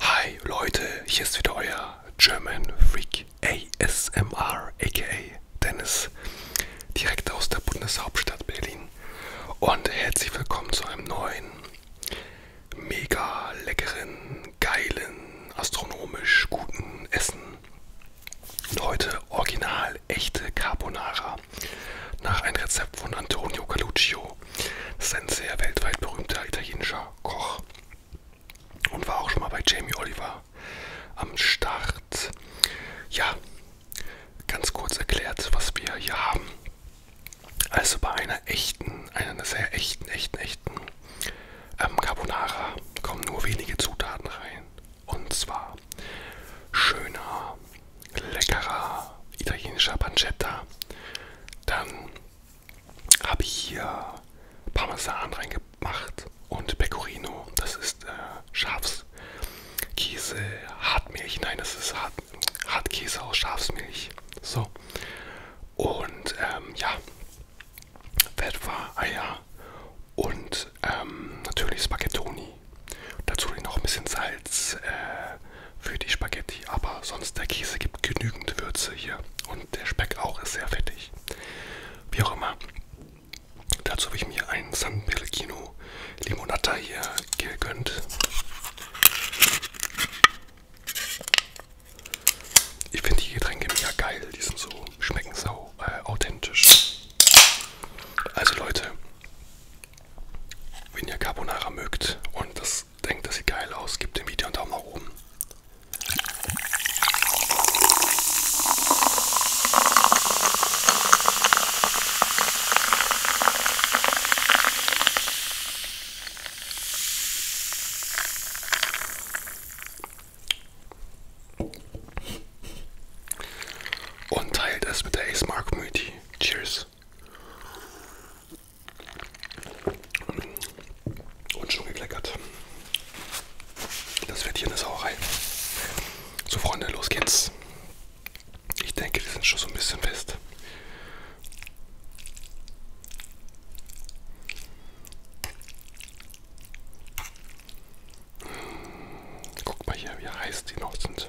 Hi Leute, hier ist wieder euer German Freak ASMR aka Dennis, direkt aus der Bundeshauptstadt Berlin und herzlich willkommen zu einem neuen, mega leckeren, geilen, astronomisch guten Essen. Und heute original echte Carbonara nach einem Rezept von Antonio Caluccio das ist ein sehr weltweit berühmter italienischer Koch und war auch schon mal bei Jamie Oliver am Start. Ja, ganz kurz erklärt, was wir hier haben. Also bei einer echten, einer sehr echten, echten, echten ähm, Carbonara kommen nur wenige Zutaten rein. Und zwar schöner, leckerer italienischer Pancetta, dann habe ich hier Parmesan reingemacht und Pecorino. Das ist äh, Schafskäse, Hartmilch. Nein, das ist Hart, Hartkäse aus Schafsmilch. So. Und ähm, ja, Wetwa-Eier und ähm, natürlich Spaghettoni. Dazu noch ein bisschen Salz, äh, für die Spaghetti, aber sonst der Käse gibt genügend Würze hier und der Speck auch ist sehr fettig. Wie auch immer, dazu habe ich mir einen San Pellegrino Limonata hier gegönnt. Ich finde die Getränke mega geil, die sind so, schmecken sau äh, authentisch. Also Leute, wenn ihr Carbonara mögt und das denkt, das sieht geil aus, gebt dem Video einen Daumen nach oben. Und teilt es mit der ASMR Community. Cheers! Und schon gekleckert. Das wird hier eine Sauerei. So Freunde, los geht's. Ich denke, die sind schon so ein bisschen fest. Guck mal hier, wie heiß die noch sind.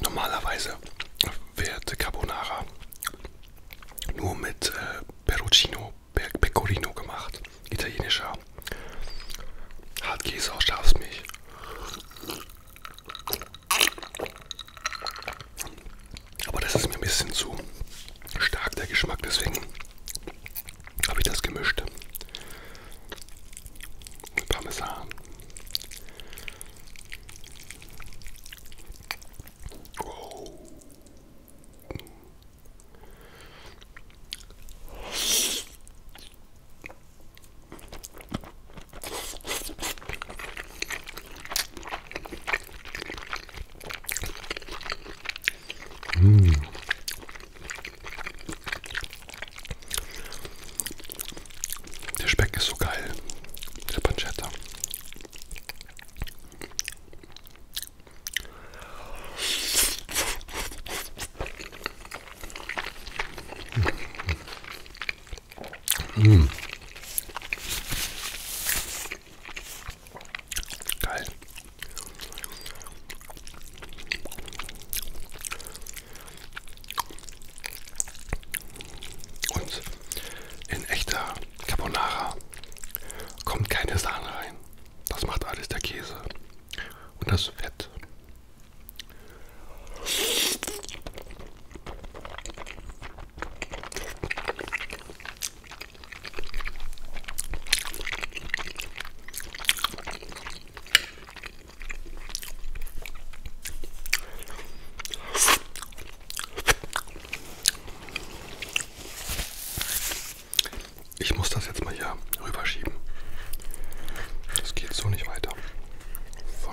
Normalerweise wird Carbonara nur mit äh, Perucino, Pe Pecorino gemacht, italienischer Hartkäse aus Schafsmilch. Aber das ist mir ein bisschen zu stark der Geschmack, deswegen habe ich das gemischt. Mit Parmesan. Oh. Mmh. Der Speck ist so geil, der Pancetta. Mmh. Mmh. Geil. Und in echter Carbonara kommt keine Sahne rein. Das macht alles der Käse und das Fett. Ich muss das jetzt mal hier rüberschieben. Das geht so nicht weiter. So.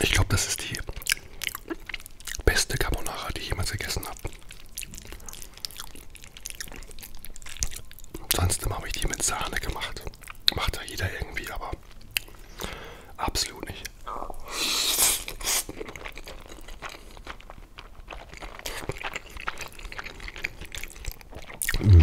Ich glaube, das ist die beste Carbonara, die ich jemals gegessen habe. Sonst habe ich die mit Sahne gemacht. Macht ja jeder irgendwie, aber absolut nicht. Mmh.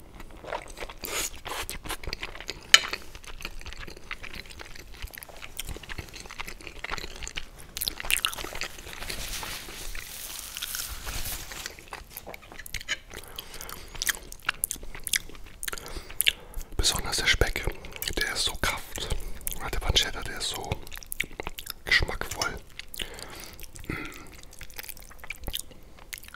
Besonders der Speck, der ist so kraft. Der Pancetta, der ist so geschmackvoll. Mm.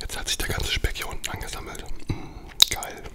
Jetzt hat sich der ganze Speck hier unten angesammelt. Mm, geil.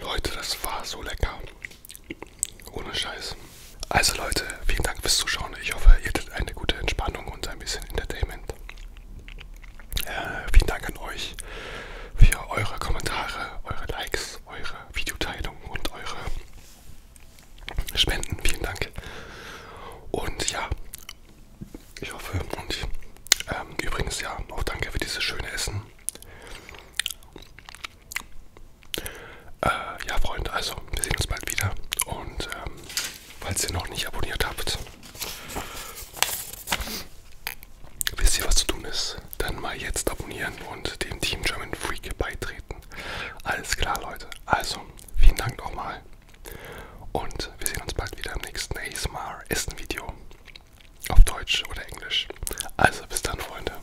Leute, das war so lecker. Ohne Scheiß. Also Leute, vielen Dank fürs Zuschauen. Ich hoffe, ihr hattet eine gute Entspannung und ein bisschen Entertainment. Äh, vielen Dank an euch für eure Kommentare, eure Likes, eure Videoteilung und eure Spenden. Vielen Dank. Und ja, ich hoffe und ähm, übrigens ja, auch danke für dieses schöne Essen. Äh, ja, Freunde, also wir sehen uns bald wieder und ähm, falls ihr noch nicht abonniert habt, wisst ihr, was zu tun ist, dann mal jetzt abonnieren und dem Team German Freak beitreten. Alles klar, Leute. Also, vielen Dank nochmal. Und wir sehen uns bald wieder im nächsten ASMR Essen Video. Auf Deutsch oder Englisch. Also bis dann, Freunde.